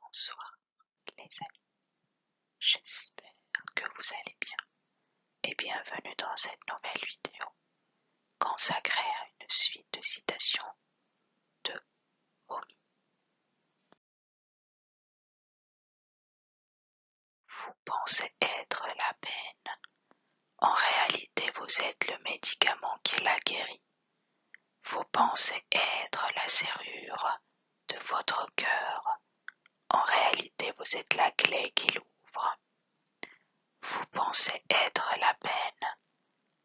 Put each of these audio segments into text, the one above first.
Bonsoir les amis, j'espère que vous allez bien et bienvenue dans cette nouvelle vidéo consacrée à une suite de citations de Rumi. Vous pensez être la peine en réalité vous êtes le médicament qui la guérit. Vous pensez être la serrure de votre cœur. En réalité vous êtes la clé qui l'ouvre. Vous pensez être la peine.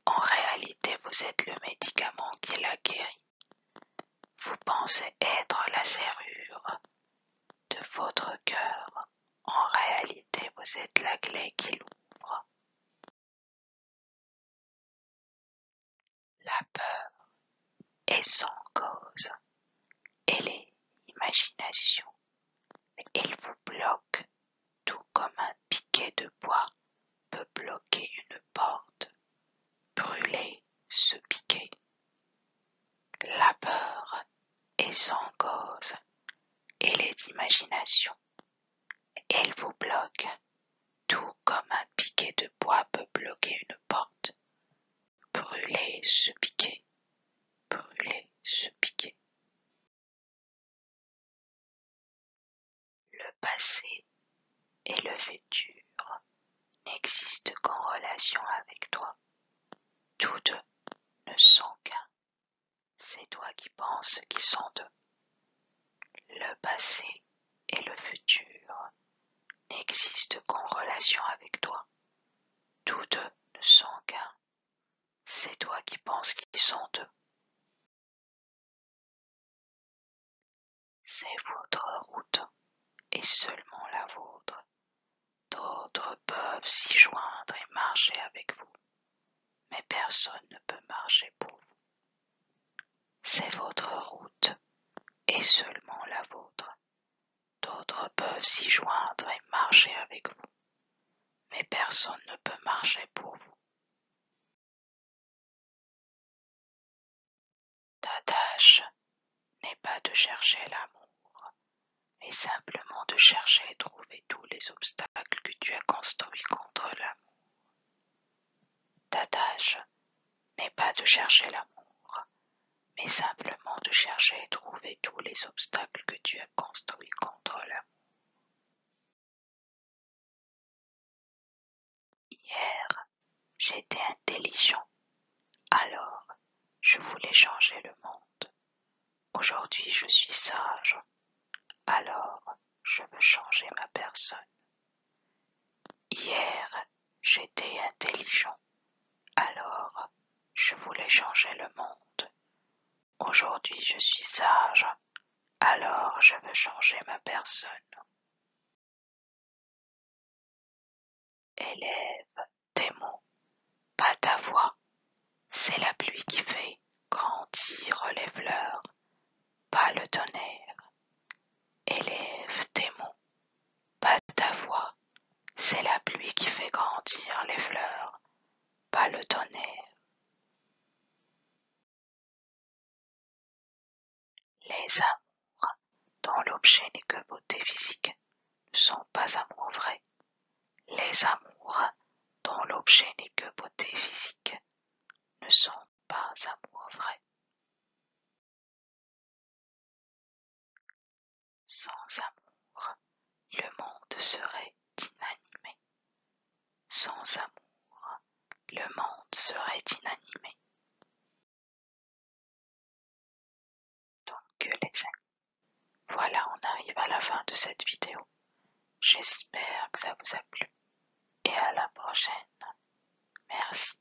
En réalité vous êtes le médicament qui la guérit. Vous pensez être la serrure de votre cœur, en réalité vous êtes la clé qui l'ouvre. La peur est sans cause, elle est imagination, elle vous bloque tout comme un piquet de bois peut bloquer une porte. Brûlez ce piquet. La peur et sans cause, elle est d'imagination. Elle vous bloque, tout comme un piquet de bois peut bloquer une porte. Brûlez ce piquet, brûlez ce piquet. Le passé est le futur n'existent qu'en relation avec toi. Tous deux ne sont qu'un. C'est toi qui penses qu'ils sont deux. Le passé et le futur n'existent qu'en relation avec toi. Tous deux ne sont qu'un. C'est toi qui penses qu'ils sont deux. C'est votre route, et seulement la vôtre. D'autres peuvent s'y joindre et marcher avec vous, mais personne ne peut marcher pour vous. C'est votre route, et seulement la vôtre. D'autres peuvent s'y joindre et marcher avec vous, mais personne ne peut marcher pour vous. Ta tâche n'est pas de chercher l'amour, mais simplement de chercher et trouver tous les obstacles que tu as construits contre l'amour. Ta tâche n'est pas de chercher l'amour, mais simplement de chercher et trouver tous les obstacles que tu as construits contre l'amour. Hier, j'étais intelligent, alors je voulais changer le monde. Aujourd'hui, je suis sage, alors je veux changer ma personne. Hier, j'étais intelligent, alors je voulais changer le monde. Aujourd'hui je suis sage, alors je veux changer ma personne. Élève tes mots, pas ta voix. C'est la pluie qui fait grandir les fleurs, pas le tonnerre. Élève tes mots, pas ta voix. C'est la pluie qui fait grandir les fleurs, pas le tonnerre. Les amours dont l'objet n'est que beauté physique ne sont pas amours vrais. Les amours dont l'objet n'est que beauté physique ne sont pas amours vrais. Sans amour, le monde serait inanimé. Sans amour, le monde serait inanimé. Donc les voilà on arrive à la fin de cette vidéo. J'espère que ça vous a plu et à la prochaine. Merci.